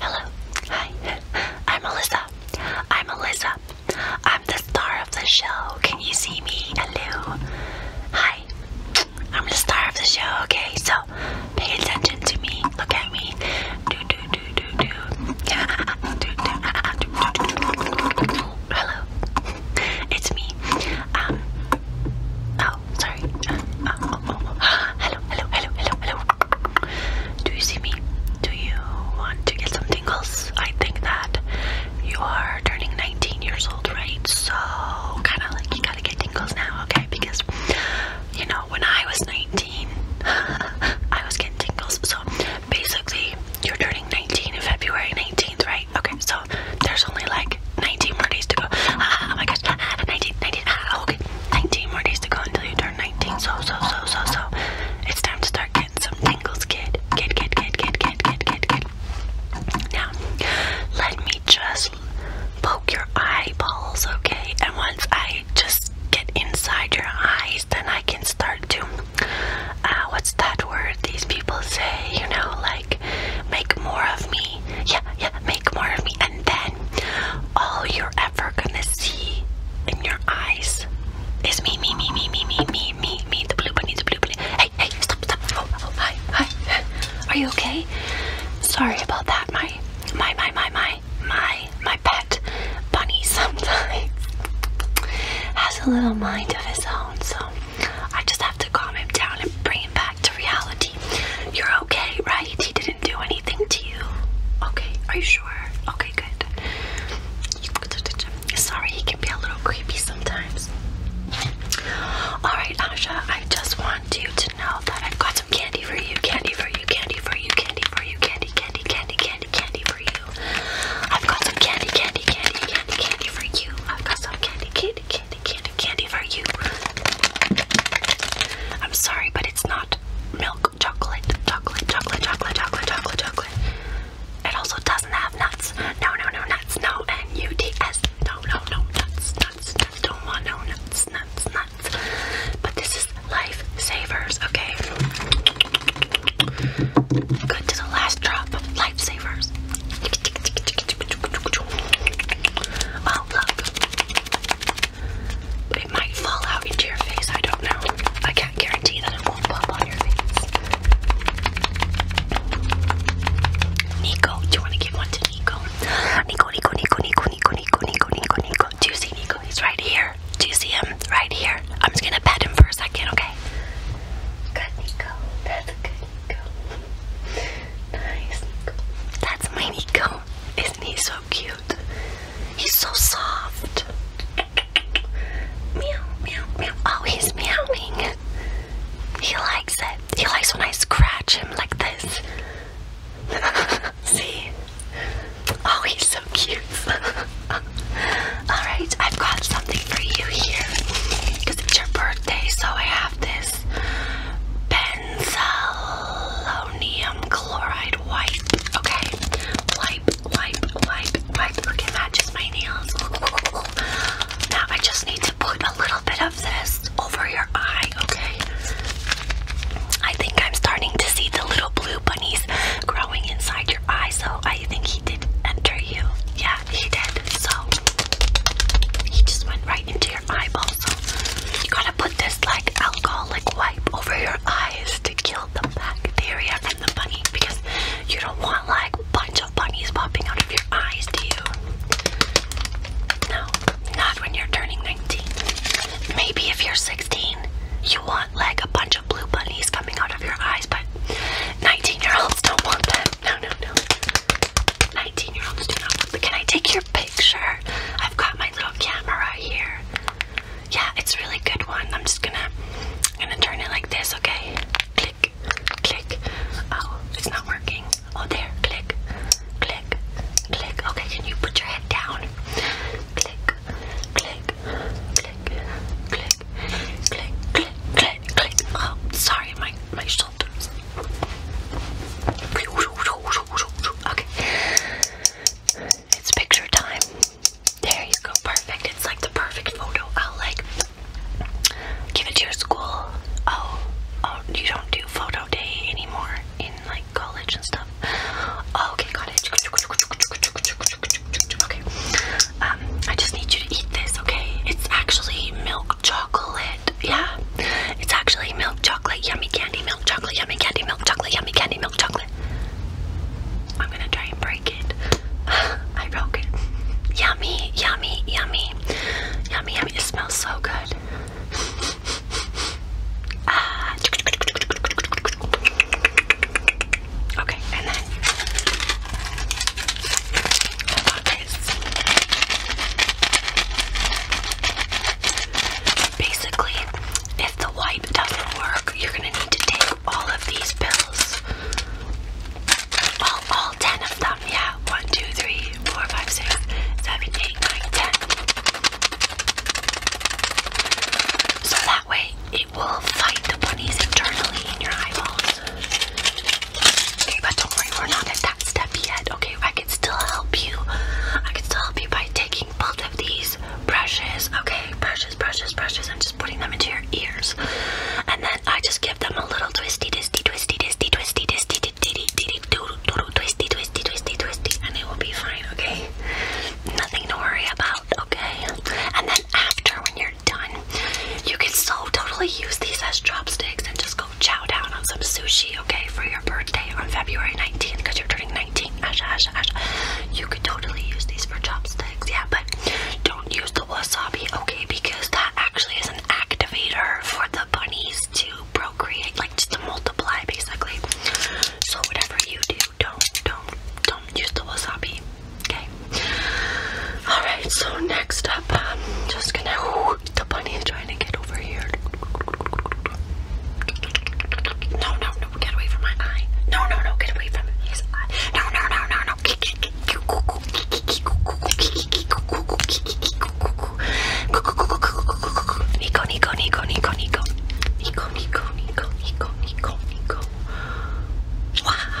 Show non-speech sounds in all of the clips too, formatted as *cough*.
Hello. Hi. I'm Melissa. I'm Melissa. I'm the star of the show. Can you see me? Hello. Hi. I'm the star of the show. Okay, so pay attention to me. Look at me. Do do do do do. do, do, do, do, do. Hello. It's me. Um, oh, sorry. Uh, oh, oh, oh. *gasps* Hello, hello, hello, hello, hello. Do you see me? Do you want to get some tingles? I think that you are turning 19 years old, right? So, kind of like you gotta get tingles now, okay? Because, you know, when I was 19, *laughs* I was getting tingles. So, basically, you're turning 19 in February 19th, right? right, okay, so there's only like 19 more days to go. Ah, oh my gosh, ah, ah 19, 19, ah, okay, 19 more days to go until you turn 19. So, so, so, so, so, it's time to start getting some tingles, kid. Kid, kid, kid, kid, kid, kid, kid, kid. Now, let me just poke your eyeballs, okay? And once I just get inside your eyes, then I can start to uh, what's that word these people say, you know, like make more of me. Yeah, yeah, make more of me. And then all you're ever gonna see in your eyes is me, me, me, me, me, me, me, me, me, the blue bunny, the blue bunny. Hey, hey, stop, stop. Oh, oh, hi, hi. Are you okay? Sorry about that, my, my, my, my, my, my, my pet bunny *laughs* sometimes has a little mind of his own, so I just have to calm him down and bring him back to reality. You're okay, right? He didn't do anything to you. Okay, are you sure? Okay, good. Sorry, he can be a little creepy sometimes. Alright, Asha, I just want you to know that I've got some candy for you, candy for you, candy for you, candy for you, candy, candy, candy, candy, candy for you. I've got some candy, candy, candy, candy, candy for you. I've got some candy, candy, candy, candy, candy for you. I'm sorry, but it's not milk, chocolate, chocolate, chocolate, chocolate, chocolate, chocolate, chocolate. It also doesn't have nuts. No, no, no, nuts, no, and UDS. No, no, no, nuts, nuts, nuts. Don't want no nuts, nuts, nuts. But this is life savers, okay? Good to the last drop. Life savers screensaver's. Oh, look. It might fall out into your face, I don't know. I can't guarantee that it won't pop on your face. Nico, do you want to give one to Nico? Nico, Nico, Nico, Nico, Nico, Nico, Nico, Nico, Nico. Do you see Nico? He's right here. Do you see him? Right here. I'm just gonna pet him for a second, okay? Good, Nico. That's good, Nico. Nice, Nico. That's my Nico. Isn't he so cute? He's so soft. meow, meow, meow. Oh, he's meowing. He likes it. He likes when I scratch him like this. *laughs* See? Oh, he's so cute. *laughs* Alright, I've got something for you here because it's your birthday, so I have this benzalonium chloride wipe. Okay, wipe, wipe, wipe, wipe. Look, it matches my nails. Now I just need to put a little bit of this over your eye, okay? I think I'm starting to see the little blue bunnies growing inside your eye, so I think he did enter you. Yeah, he did. So he just went right into your eyeball. So you gotta put this like alcoholic wipe over your eyes to kill the bacteria and the bunny because you don't want like a bunch of bunnies popping out of your eyes, do you? No, not when you're turning 19. Maybe if you're 16, you want like a bunch of blue bunnies coming out of your eyes, but 19 year olds don't want them. No, no, no. 19 year olds do not want. But can I take your picture? I've got my little camera here. Yeah, it's a really good one. I'm just gonna, I'm gonna turn it like this. Okay. Click, click. Oh, it's not working. Oh, there. Click, click, click. Okay, can you put your head down? Click, click, click, click, click, click, click, click. sorry, my my shoulders. Okay, it's picture time. There you go, perfect. It's like the perfect photo. I'll like give it to your school. Oh, oh, you don't do photo day anymore in like college and stuff. Okay, got it. Okay, um, I just need you to eat this, okay? It's actually milk chocolate. Yeah, it's actually milk chocolate, yummy candy, milk chocolate, yummy candy, milk chocolate, yummy candy, milk chocolate. I'm gonna try and break it. *sighs* I broke it. Yummy, yummy, yummy, yummy, yummy. It smells so good. *laughs* Ah. Okay, Basically, if the wipe doesn't work, you're gonna need to take all of these pills. All, all 10 of them, yeah. 1, So that way, it will fight the bunnies internally in your eyeballs. Okay, but don't worry, we're not at that step yet. Okay, I can still help you. I can still help you by taking both of these brushes, okay? Brushes, brushes, brushes, I'm just putting them into your ears. And then I just give them a little twisty, twisty, twisty, twisty, twisty, twisty, twisty, twisty, twisty, twisty, twisty, twisty, and it will be fine, okay? Nothing to worry about, okay? And then after, when you're done. You can so totally use these as chopsticks and just go chow down on some sushi, okay, for your birthday on February 19th because you're turning 19. Ash, ash, ash. You could totally use these for chopsticks, yeah, but don't use the wasabi, okay, because that actually is an activator for the bunnies to procreate, like just to multiply basically. So whatever you do, don't, don't, don't use the wasabi. Okay. Alright, so next up, I'm just gonna. Ooh, the bunny is trying to get over here. No, no, no, get away from my eye. No, no, no, get away from his eye. No, no, no, no, no. Nico, Nico, Nico, Nico, Nico. Nico, Nico, Nico, Nico, Nico, Nico. Wow.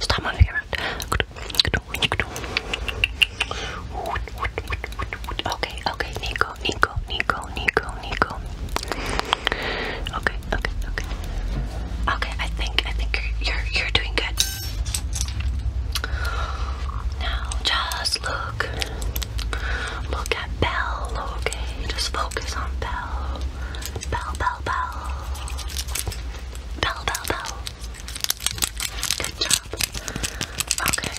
Stop moving around. Okay, okay, Nico, Nico, Nico, Nico, Nico. Okay, okay, okay. Okay, I think I think you're you're doing good. Now just look. Look at Belle, okay? Just focus on Belle. Bell, bell, bell. Bell, bell, bell. Good job. Okay.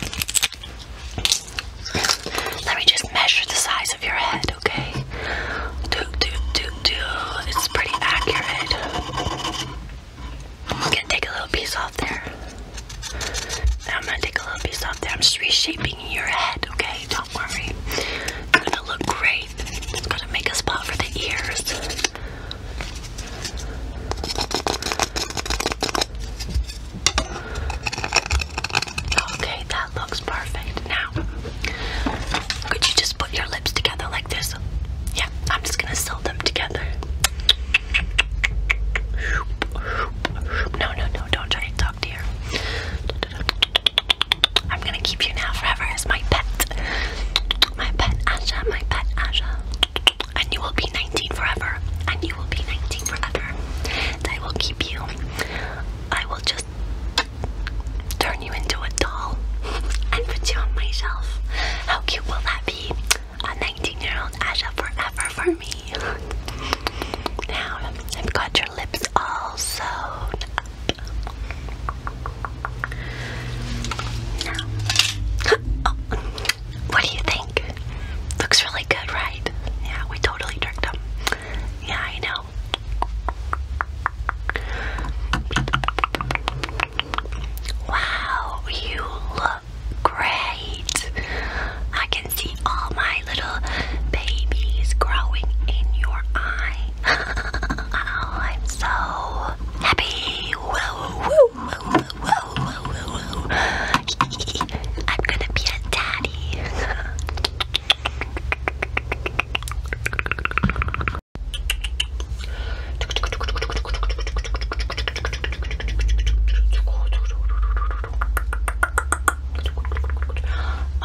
Let me just measure the size of your head, okay? Do, do, do, do. It's pretty accurate. I'm gonna take a little piece off there. I'm gonna take a little piece off there. I'm just reshaping your head, okay? Don't worry. You're gonna look great. Gotta make a spot for the ears. Okay, that looks perfect. Now, could you just put your lips together like this? Yeah, I'm just gonna sew them together. No, no, no, don't try to talk to her. I'm gonna keep you now forever as my pet. My pet Asha, my pet Asha. And you will be 19 forever. And you will be 19 forever. And I will keep you. I will just turn you into a doll *laughs* and put you on my How cute will that be? A 19 year old Asha forever for me. *laughs* Now, I've got your lips all sewn up. *laughs* Oh, what do you think? Looks really good, right? Yeah, we totally tricked them. Yeah, I know. Wow, you look great. I can see all my little babies growing in your eye oh, I'm so happy. I'm gonna be a daddy.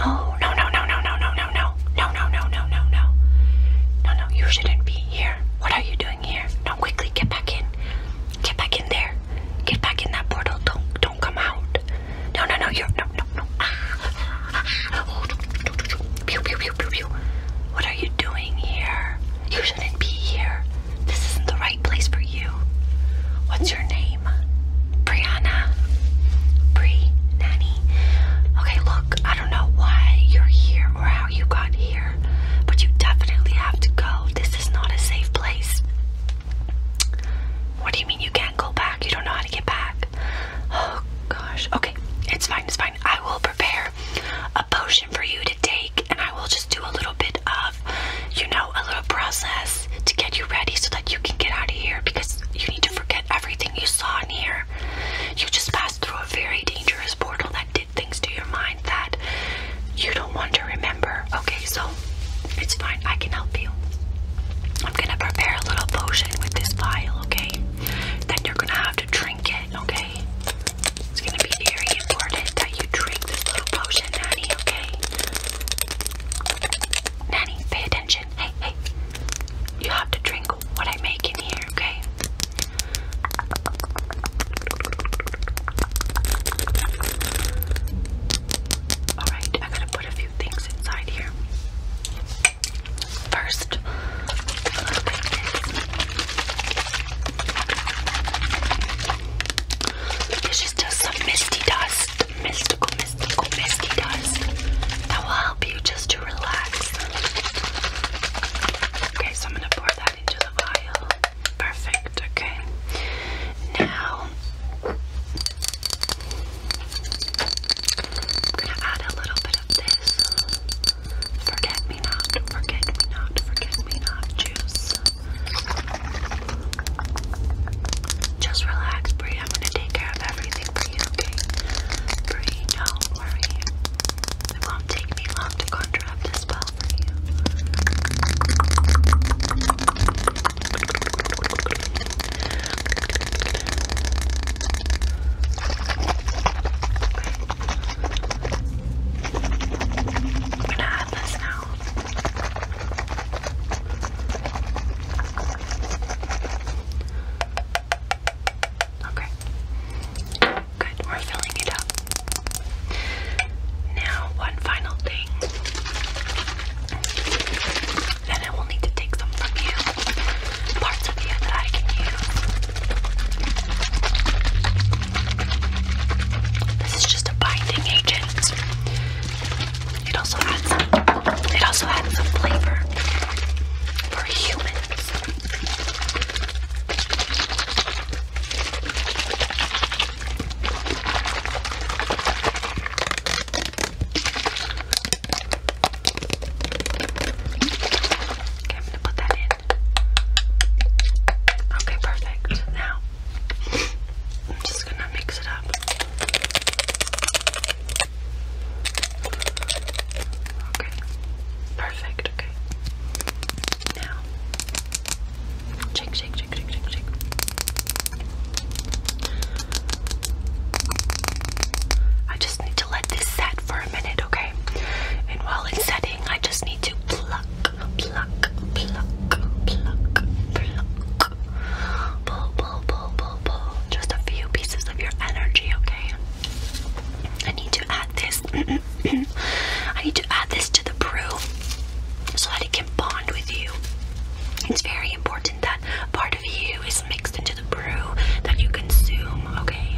Oh no no no no no no no no, no, no, no, no, no, no, no. No, you shouldn't be here. What are you doing here? No, quickly get back in. Get back in there. Get back in that portal. Don't don't come out. No, no, no, you're no no no. Pew pew pew pew pew. What are you doing here? You shouldn't be here. This isn't the right place for you. What's your name? Brianna. Bri Nanny. Okay, look, I don't know why you're here or how you got here, but you definitely have to go. This is not a safe place. What do you mean you can't go back? You don't know how to get back. Oh gosh. Okay, it's fine, it's fine. I will prepare a potion for you to take and I will just do a little bit of, you know, a little process to get you ready so that you can get out of here because you need to forget everything you saw in here. You just passed through a very dangerous portal that did things to your mind that you don't want to remember. Okay, so it's fine. I can help you. I'm gonna prepare a little potion with this vial, okay? Then you're gonna have to drink it, okay? It's gonna be very important that you drink this little potion, Nanny, okay? Nanny, pay attention. Hey, hey. You have to drink what I make in here, okay? Alright, I gotta put a few things inside here. First, this is just some misty dust, mystical, as Nicole That will help you just to relax. Okay, so I'm gonna pour that into the vial. Perfect, okay. Now I'm gonna add a little bit of this. Forget me not, forget me not, forget me not juice. Just relax, Brie. I'm gonna take care of everything everything for you, okay? Bree, don't worry. It won't take me long to contract this spell for you. Okay. i gonna add this now. Okay. Good, we're filling it up. Now, one final thing. Then I will need to take some from you. Parts of you that I can use. This is just a binding agent. It also adds it also adds some flavor humans. Okay, I'm gonna put that in. Okay, perfect. Now I'm just gonna mix it up. Okay. Perfect, okay. Now shake, shake, shake, shake, shake, I just need to let this set for a minute, okay? And while it's setting, I just need to pluck, pluck, pluck, pluck, pluck, pull, pull, pull, pull, pull. Just a few pieces of your energy, okay? I need to add this. *clears throat* I need to add this to the brew so that it can bond with you. It's very important that part of you is mixed into the brew that you consume, okay?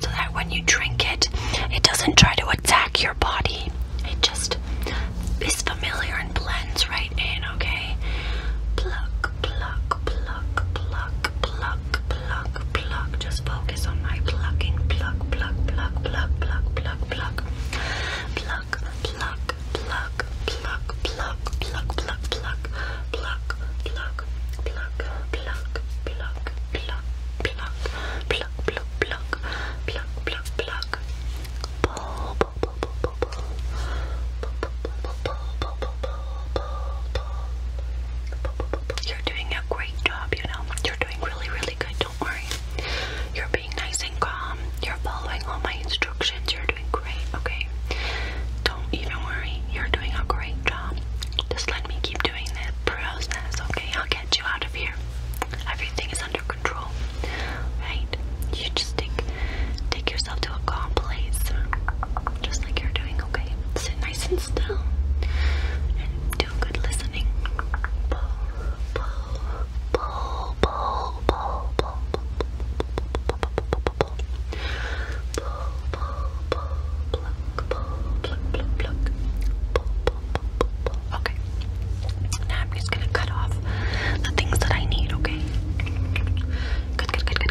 So that when you drink it, it doesn't try to attack your body. It just is familiar and blends right in, okay? Pluck, pluck, pluck, pluck, pluck, pluck, pluck. Just focus on my plucking. Pluck, pluck, pluck, pluck, pluck, pluck, pluck. Pluck, pluck, pluck, pluck, pluck, pluck, pluck, pluck, pluck, pluck, pluck, pluck, pluck, pluck. Pluck, pluck, pluck, pluck, pluck, pluck, pluck. Pull, pull, pull, pull, you're doing a great job, you know. You're doing really, really good. Don't worry. You're being nice and calm. You're following all my instructions. You're doing great, okay? Don't even worry. You're doing a great job. Just let me keep doing the process, okay? I'll get you out of here. Everything is under control, right? You just take Take yourself to a calm place, just like you're doing, okay? Sit nice and still and do good listening. Okay. Now I'm just gonna cut off the things that I need, okay? Good, good, good, good,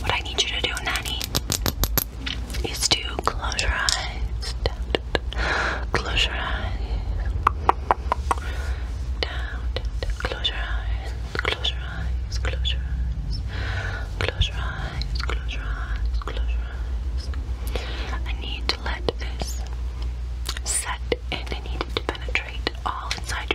what I need you to do, Nanny, is to close your eyes. close your eyes. Down, Close your eyes. Close your eyes. Close your eyes. Close your eyes. Close your eyes. I need to let this set and I need it to penetrate all inside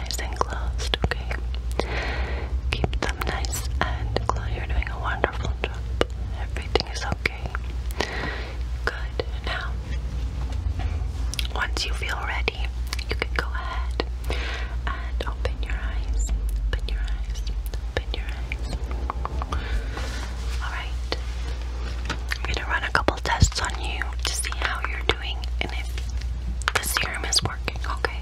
nice and closed, okay? Keep them nice and closed. You're doing a wonderful job. Everything is okay. Good. Now, once you feel ready, you can go ahead and open your eyes. Open your eyes. Open your eyes. Alright. I'm gonna run a couple tests on you to see how you're doing and if the serum is working, okay?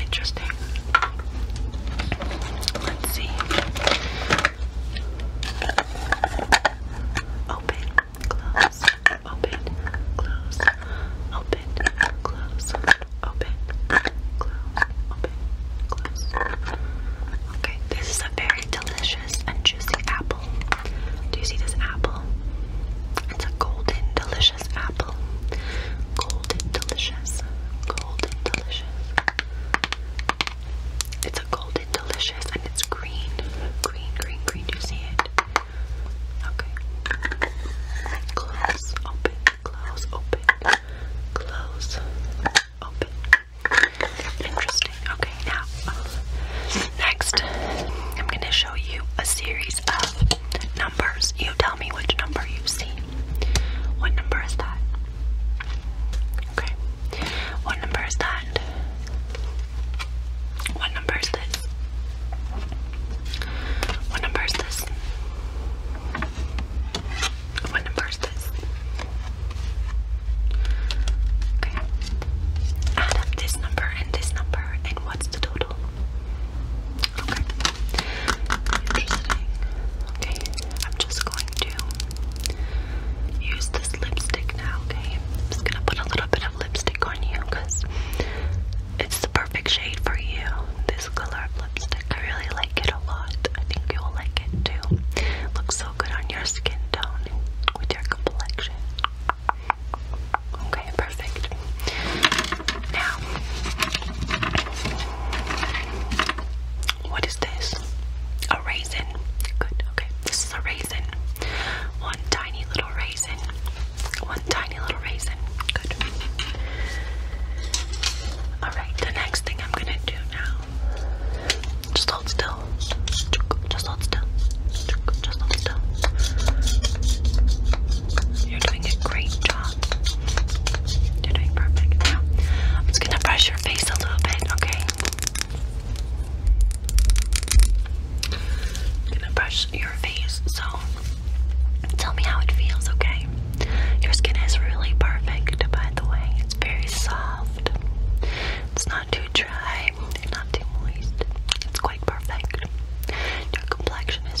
Interesting. Let's see. Open, close, open, close, open, close, open, close, open, close. Okay, this is a very delicious and juicy apple. Do you see this apple? It's a golden, delicious apple. Golden delicious. Golden delicious. It's a golden delicious and it's green. Green, green, green. Do you see it? Okay. Close, open, close, open, close, open. Interesting. Okay, now, uh, next, I'm going to show you a series of numbers. You tell tell me which number you see. What number is that? Okay. What number is that? What number is this? What number is this? What number is this? Okay. Add up this number and this number, and what's the total? Okay. Interesting. Okay, I'm just going to use this lipstick now, okay? I'm just gonna put a little bit of lipstick on you because it's the perfect shade for you. This color of lipstick, I really like it a lot. I think you'll like it too. looks so good on your skin tone with your complexion. Okay perfect. Now, what is this? A raisin. Good, okay. This is a raisin. One tiny little raisin. One tiny little raisin. Good. Alright, the next thing I'm gonna do now. Just hold still. Just hold still. Just hold still. You're doing a great job. You're doing perfect. I'm just gonna brush your face a little bit, okay? gonna brush your face, so tell me how it feels, okay? Your skin is really perfect, by the way. It's very soft. It's not too dry, It's not too moist. It's quite perfect. Your complexion is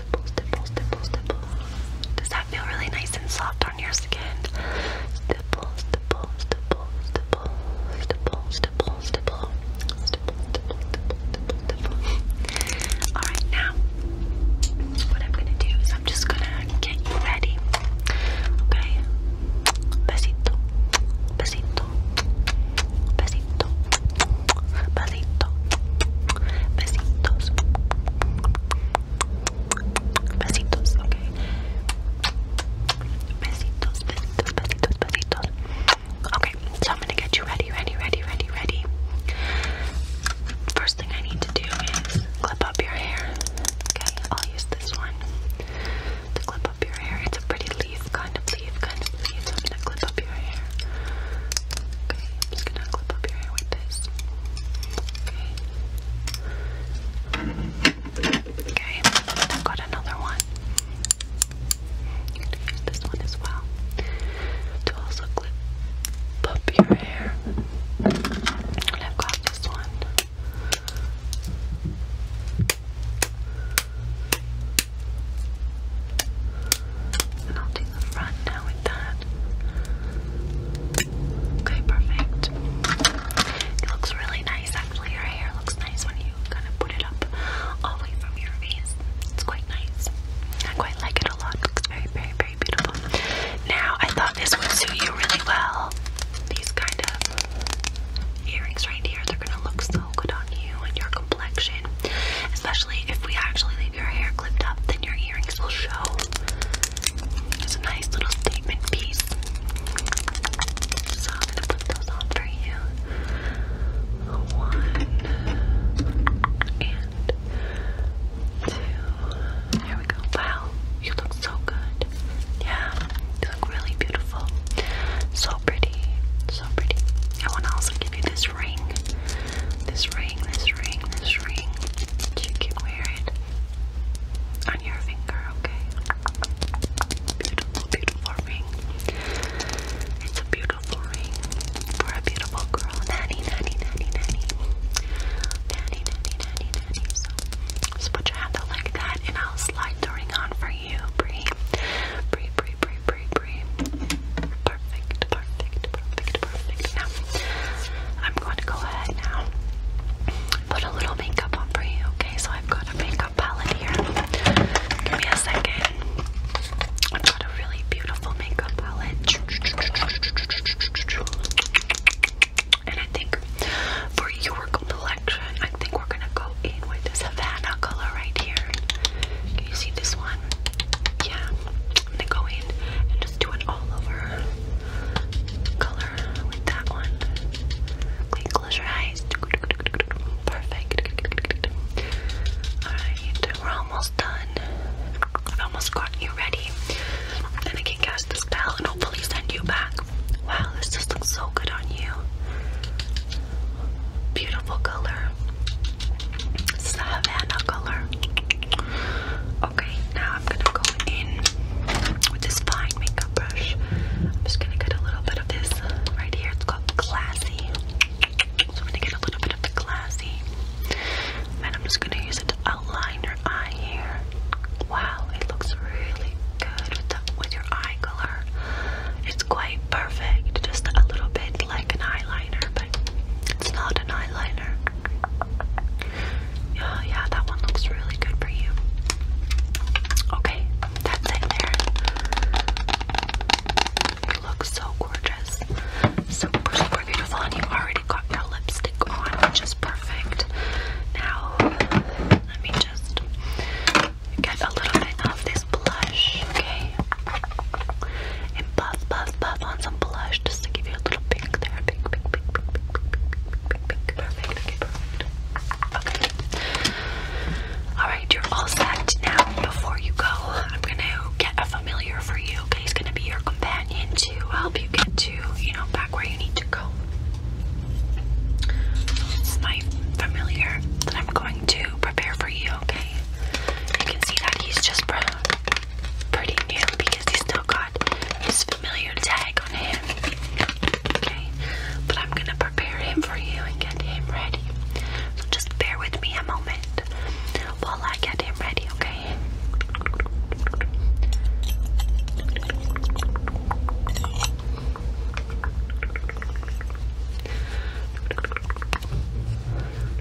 does that feel really nice and soft on your skin? All right, now what I'm gonna do is I'm just gonna get you ready. Okay, besito, besito, besito, besito, Besito. Besitos. Besitos, ok. Besitos, besitos, besitos, besitos. Okay, I'm gonna get you ready, ready, ready, ready, ready. First thing I need to do is clip up your hair. Okay, I'll use this one to clip up your hair. It's a pretty leaf, kind of leaf, kind of leaf. I'm gonna clip up your hair. Okay, I'm just gonna clip your hair with this. Okay. Okay, I've got another one. I'm gonna use this one as well to also clip up your hair. I've got this one. And the front now with that. Okay, perfect. It looks really nice actually. Your hair looks nice when you kind of put it up all from your face. It's quite nice. I quite like it a lot. very, very, very beautiful. Now, I thought this would suit you really well. These kind of earrings right here, they're gonna look so good on you and your complexion, especially if we actually your hair clipped up, then your earrings will show. It's a nice little statement piece. So I'm gonna put those on for you. One and two. There we go. Wow, you look so good. Yeah, you look really beautiful. So pretty. So pretty. I want to also give you this this ring. This ring, this ring, this ring. You can wear it on your finger, okay? Beautiful, beautiful ring. It's a beautiful ring for a beautiful girl. Nanny, nanny, nanny, nanny. Nanny, nanny, nanny, nanny. So just put like that and I'll slide the ring on for you. Bree, Bree, Bree, Bree, Bree, Perfect, perfect, perfect, perfect. Now, I'm going to go ahead now put a little makeup on for you, okay? So I've got a makeup palette here. Give me a second. I've got a really beautiful makeup palette. And I think for your complexion, I think we're gonna go in with this Havana color right here. Can you see this one? Yeah i go in and just do it all over color with that one. close your eyes. Perfect. Alright, we're almost done. I've almost gotten you ready. And I can cast the spell and hopefully send you back. Wow, this just looks so good on you. Beautiful color. Savannah color. Okay, now I'm gonna go in with this fine makeup brush. I'm just gonna get a little bit of this right here. It's called Classy. So I'm gonna get a little bit of the Classy. And I'm just gonna use it to outline your eye here. Wow, it looks really good with your eye color. It's quite perfect, just a little bit like an eyeliner. It's not an eyeliner. Yeah, yeah, that one looks really good for you. Okay, that's it there. You look so gorgeous. Super, super beautiful. And you already got your lipstick on, which is perfect. Now, let me just get a little bit of this blush, okay? and puff, puff, puff on some blush just to give you a little pink there. Pink, pink, pink, pink, pink, pink, pink, pink. Perfect. Okay, perfect. Okay. All right, you're all set now. Before you go, I'm gonna get a familiar for you. Okay, he's gonna be your companion to help you get to, you know, back where you need to go. It's my familiar that I'm going to prepare for you. Okay, you can see that he's just pretty new because he still got his familiar tag on him. Okay, but I'm gonna prepare him for you and get him ready. So just bear with me a moment while I get him ready, okay?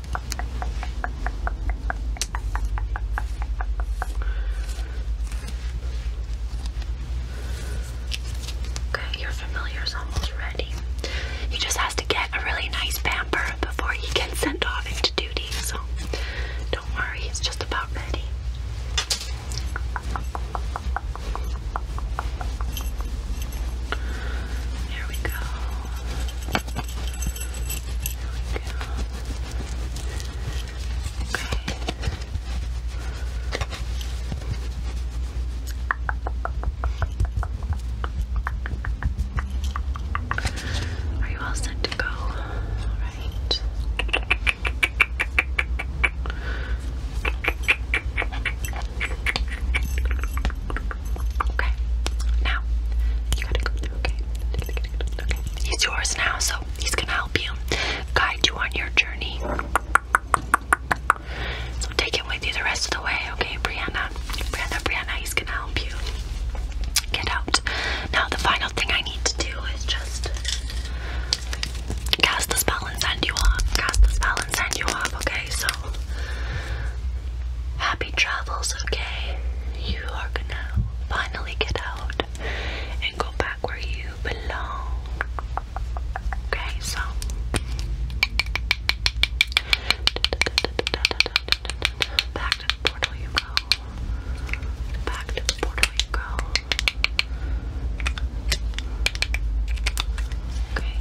Okay, your familiar's almost ready. He just has to get a really nice pamper before he can send off into duty, so don't worry, he's just about ready. There we go. Okay. Are you all set to go? All right. Okay. Okay. Now you gotta go Okay. He's yours now, so he's gonna help you, guide you on your journey. So take him with you the rest of the way, okay, Brianna? Brianna, Brianna, he's gonna help you get out. Now the final thing I need to do is just cast the spell and send you off. Cast the spell and send you off, okay? So, happy travels, okay? You are gonna finally get out and go back where you belong, okay? So, back to the portal you go. Back to the portal you go. Okay.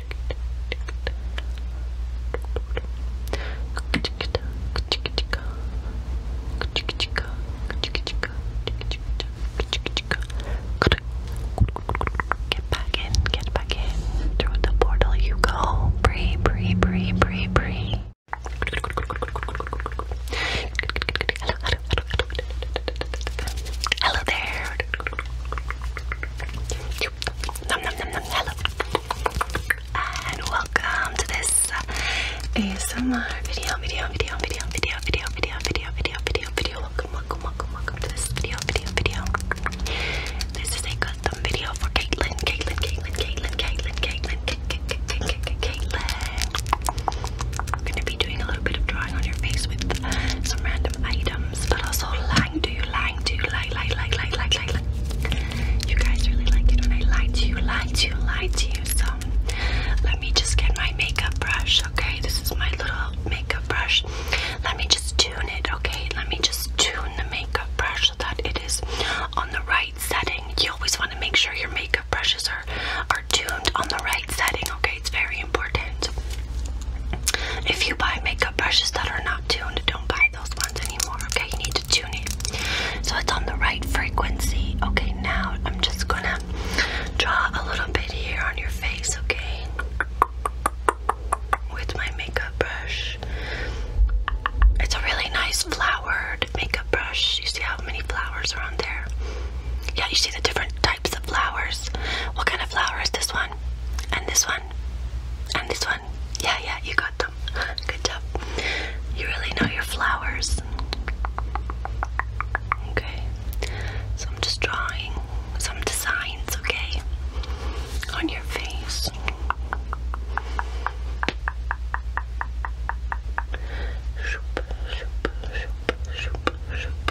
Get back in, get back in. Through the portal you go. Bree, bree, bree, bree, bree. hello there hello. And welcome to this ASMR video, video, video, video, video, video, video, video, video, video, video. Welcome, welcome, welcome, welcome to this video, video, video. This is a good video for Caitlin, Caitlin, Caitlin, Caitlin, Caitlin, Caitlin, I'm gonna be doing a little bit of drawing on your face with some random item but also lying to you, lying to you, lie, lie, lie, lie, lie, lie, lie. You guys really like it when I lie to you, lie to you, lie to you. So let me just get my makeup brush, okay? This is my little makeup brush. Let me just tune it, okay? Let me just tune the makeup brush so that it is on the right setting. You always want to make sure your makeup brushes are are tuned on the right setting, okay? It's very important. If you buy makeup brushes that are not tuned, don't buy those ones anymore, okay? You need to tune it so it's on the right frequency. Okay, now I'm just gonna draw a little bit here on your face, okay? With my makeup brush. It's a really nice flowered makeup brush. You see how many flowers are on there? Yeah, you see the different types of flowers. What kind of flower is this one? and this one, and this one. Yeah, yeah, you got them. *laughs* Good job. You really know your flowers. Okay, so I'm just drawing some designs, okay, on your face. Shoop, shoop, shoop, shoop, shoop.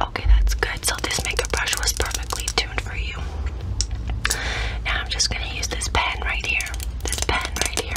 Okay, that's good. So this makeup brush was perfectly tuned for you. Now I'm just gonna use this pen right here. This pen right here.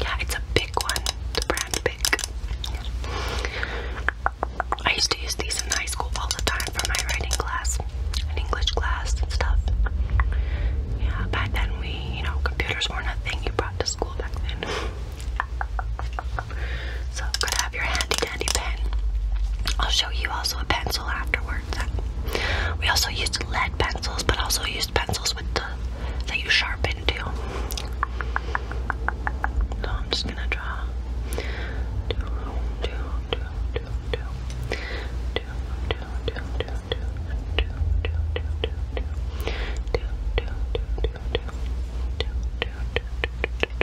yeah, it's a big one. The brand big. I used to use these in high school all the time for my writing class, an English class and stuff. Yeah, back then we, you know, computers weren't a thing you brought to school back then. So gotta have your handy dandy pen you also a pencil afterwards. We also used lead pencils, but also used pencils with the that you sharpen too. So I'm just gonna draw.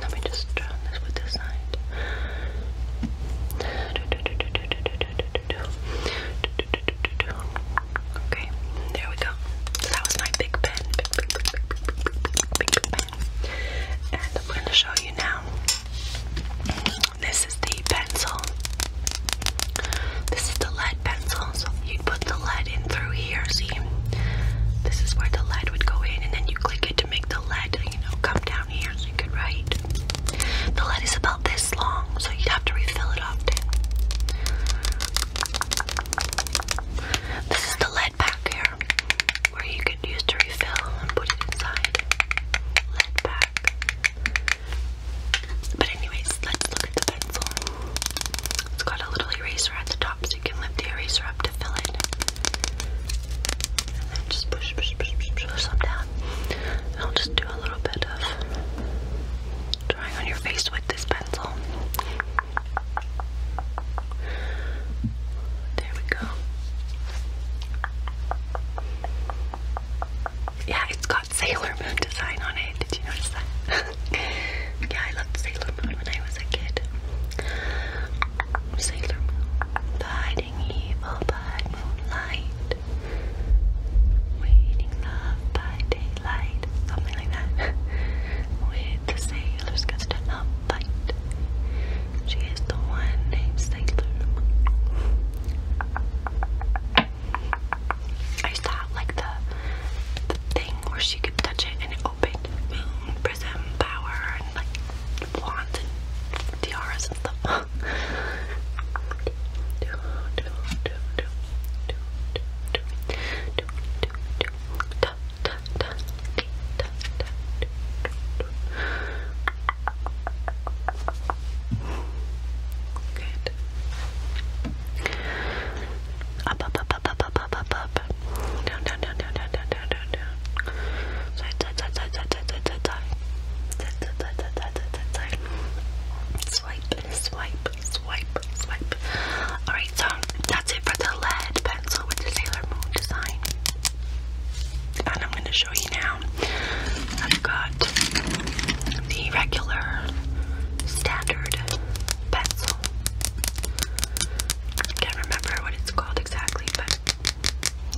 Let me just turn this with this side. Okay, there we go. So that was my big pen. Big, big, big, big, pen. And I'm going to show you now. This is the pencil. This is the lead pencil. So you put the lead in through here, see? This is where the lead would go in, and then you click it make the lead, you know, come down here so you could write. The lead is about this long, so you'd have to refill it often. This is the lead pack here, where you could use to refill and put it inside. Lead pack. But anyways, let's look at the pencil. It's got a little eraser at the top, you can lift the eraser up to fill it. And then just push, push, push, push, push them down. I'll just do a little bit of drawing on your face with this pencil. There we go. Yeah, it's got Sailor Moon design on it. Did you notice that? *laughs* yeah, I loved Sailor Moon when I was a kid. Sailor Moon, the hiding evil by moonlight, waiting love by daylight, something like that. *laughs* With the sailors, gets to not fight. She is the one named Sailor I saw like the, the thing where she could touch it and it opened. Moon, prism, power, and like blondes and tiaras and stuff. Good. Up, up, up, up, up, up, up, up. Down, down, down, down, down, down, down, down, down. Swipe, swipe, swipe, swipe. Alright, so that's it for the lead pencil with the Sailor Moon design. And I'm gonna show you now. I've got the regular standard pencil. can't remember what it's called exactly, but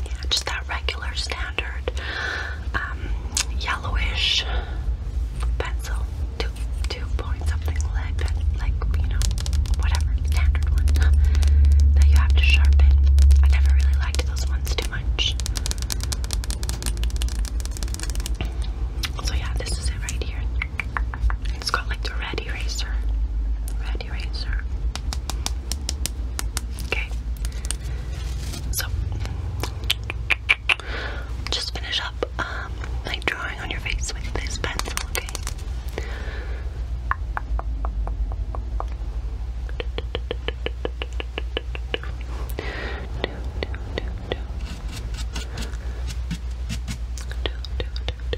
yeah, just that regular standard um, yellowish pencil, two two point something lead pen, like you know, whatever standard one *laughs* that you have to sharpen. I never really liked those ones too much. So yeah, this is it right here. It's called like the red eraser. Red eraser. Okay. So just finish up um, like drawing on your face with this pencil, okay?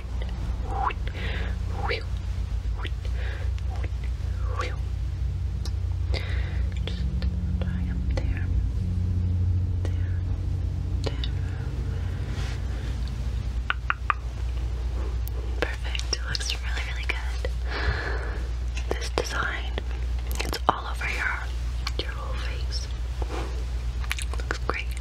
Perfect. It looks really, really good. This design, it's all over your whole face. Looks great.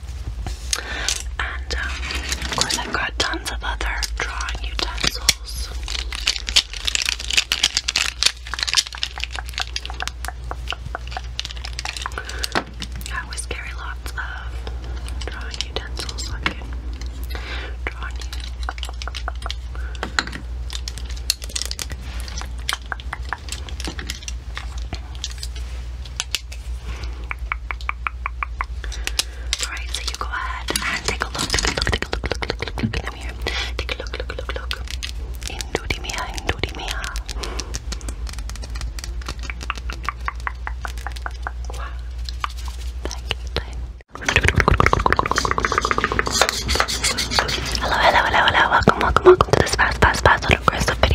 Um, of course, I've got tons of other drawing utensils. I always carry lots of drawing utensils so I Alright, so you go ahead take a look, take a look, take a look, look, look, look, look in the Take a look, look, look, look. Into the Thank you, Hello, hello, hello, hello. Welcome, welcome, welcome to this fast, fast, fast, little aggressive video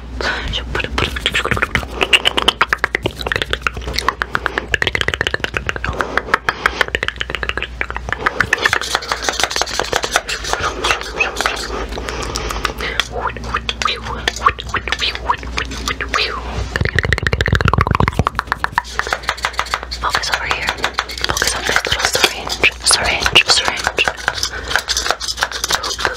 Focus over here. Focus on this little syringe. Syringe, syringe. Poop,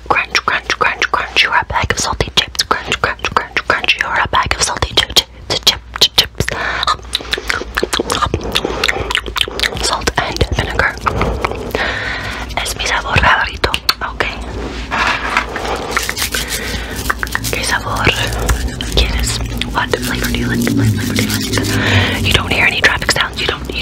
Crunch, crunch, crunch, crunch. you a bag of salty chips. Crunch, crunch, crunch, crunch. you a bag of salty chips. Ch ch ch chips. Salt and vinegar. Es mi sabor favorito. Okay. ¿Qué sabor quieres? What flavor do you like? you don't hear any traffic sounds. You don't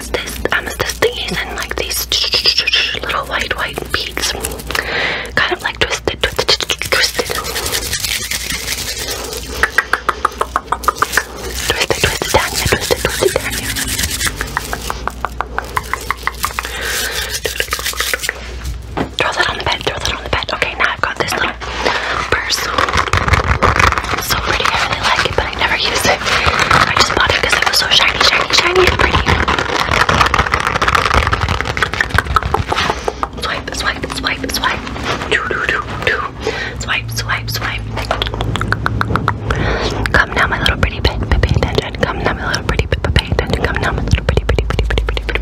I'm amethyst, amethyst thingies and like these little white, white beads. Kind of like twisted, twisted, twisted. Twisted, twisted, Tanya, twisted, twisted, Tanya. Throw that on the bed, throw that on the bed. Okay, now I've got this little purse. So pretty, I really like it, I never used it. I just bought it because it was so shiny, shiny, shiny, and pretty. Swipe, swipe, swipe, swipe. Do, do, do, do. Swipe, swipe, swipe. Come now, my little pretty bit, pay attention. Come now, my little pretty bit, pay attention. Come now, my little pretty, pretty, pretty, pretty, pretty, pretty.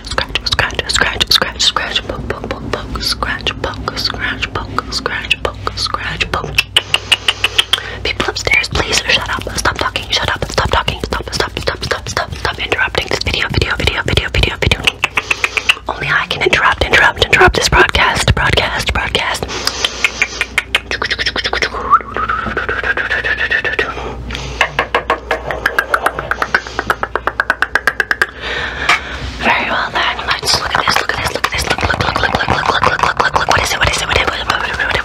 scratch, scratch, scratch, scratch, scratch, scratch, poke, poke, poke, poke, scratch, poke, scratch, poke, scratch, poke, scratch, poke. People upstairs, please shut up. Stop talking. Shut up. Stop talking. Stop. Stop. Stop. Stop. Stop. Stop interrupting this video. Video. Video. Video. Video. Video. Only I can interrupt. Interrupt. Interrupt this broadcast. Broadcast. Broadcast. Very well then. Let's look at this. Look at this. Look at this. Look, look, look, look, look, look, look, look, look, look, look. What is it? What is it? What is it? What is it? What is it?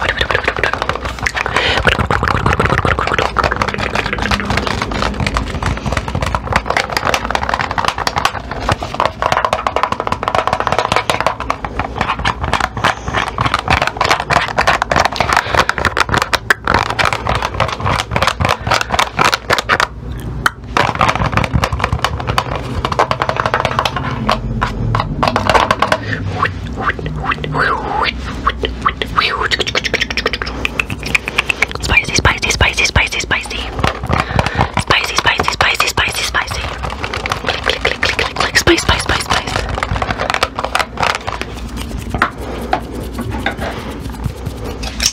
Spicy, spicy, spicy, spicy, spicy. Spicy, spicy, spicy, spicy, spicy. Click, click, click, click, click, click. Spice, spice, spice, spice.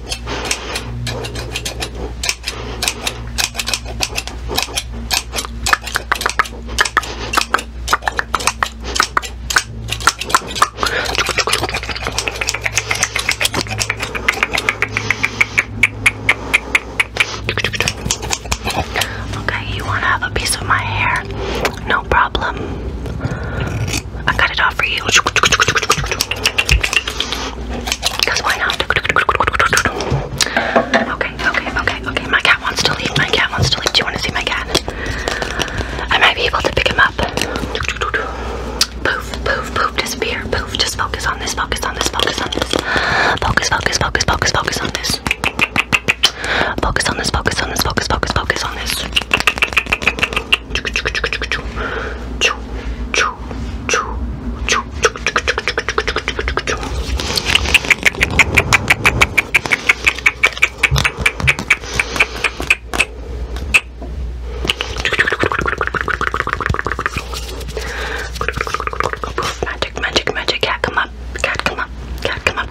Okay, you want to have a piece of my hair? No problem. I cut it off for you. Because why not? Okay, okay, okay, okay. My cat wants to leave. My cat wants to leave. Do you want to see my cat? I might be able to pick him up. Poof, poof, poof, disappear. Poof, just focus on this, focus on this, focus on this. Focus, focus, focus, focus, focus on this. Focus on this, focus on this, focus, focus, focus on this. Choo, choo, choo, choo, choo, choo, choo, Magic, magic, magic. Cat, come up. Cat, come up. Cat, come up. Cat, come up.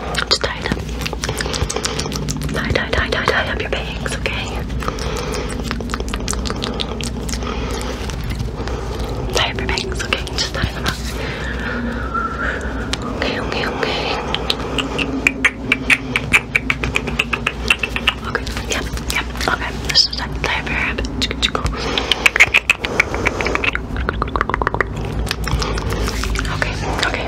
Just tie it Tie, tie, tie, tie, tie up your bangs, okay? Tie up your bangs, okay? Just tie them up. Okay, okay, okay. yep, yep, okay. This is that tie up your hair. Okay, okay.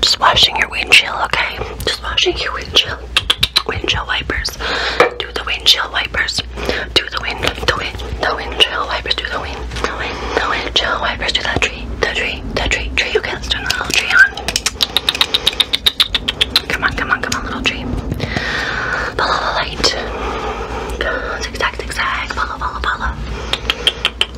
Just washing your windshield, okay? Just washing your windshield. Windshield wipers. Do the windshield wipers. Do the wind, the wind, the windshield wipers. Do the wind, the wind, the windshield wipers. Do that tree, the tree, the tree, tree. Okay, let's turn the little tree on. Come on, come on, come on, little tree. Follow the light. Go, zigzag, zigzag. Follow, follow, follow.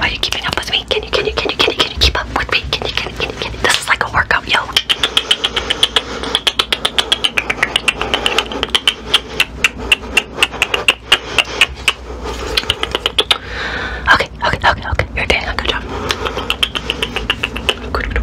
Are you keeping up with me? Can you can you can you can you can you keep up with me? Can you can you can you This is like a workout, yo. Okay, okay, okay, okay. You're doing a good job. Good job.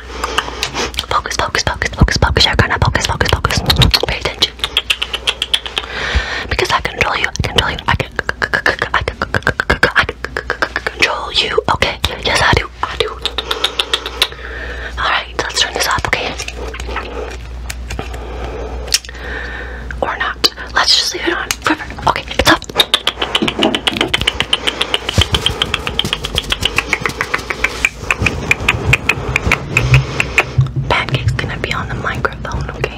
Focus, focus, focus, focus, focus. You're to focus, focus, focus. Pay attention. Because I control you, I control you, I can, I can, I can control you. Okay, yes, I do, I do. Alright, let's turn this off, okay? Or not. Let's just leave it on forever. Okay, it's off. Pancake's gonna be on the microphone, okay?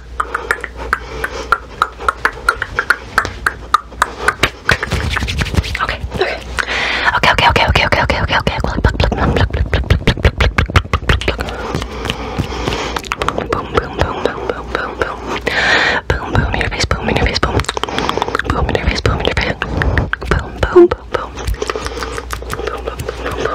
Okay, okay. Okay, okay, okay, okay, okay, okay, okay, okay. Pluck, pluck, pluck, pluck, pluck, pluck, pluck, pluck, pluck, pluck, pluck, pluck, pluck. Boom, boom, boom, boom, boom, boom, boom. Boom, boom, in your face, boom, in your face, boom. Boom in your face, boom in your face. Boom, boom, boom, boom. Boom, boom, boom, boom, boom.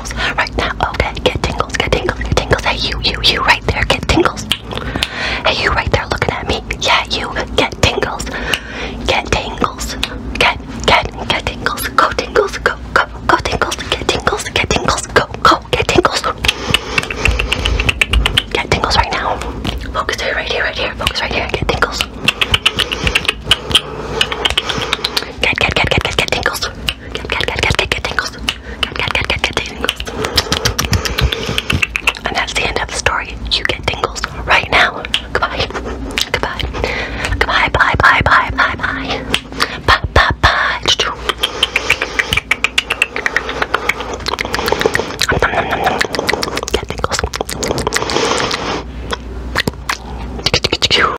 tingles right now. Okay, get tingles, get tingles, get tingles. Hey, you, you, you right there, get tingles. Hey, you right there looking at me. Yeah, you, get tingles. Get tingles. Get, get, get tingles. Go tingles, go, go, go tingles. Get tingles, get tingles, go, go, get tingles. Get tingles right now. Focus here, right here, right here. Focus right here, get tingles. Get, get, get, get, get, get tingles. Get, And that's the end of the story. You get tingles right now. Goodbye. Goodbye. Goodbye. Bye. Bye. Bye. Bye. Bye. Bye. Bye. Bye. Get tingles.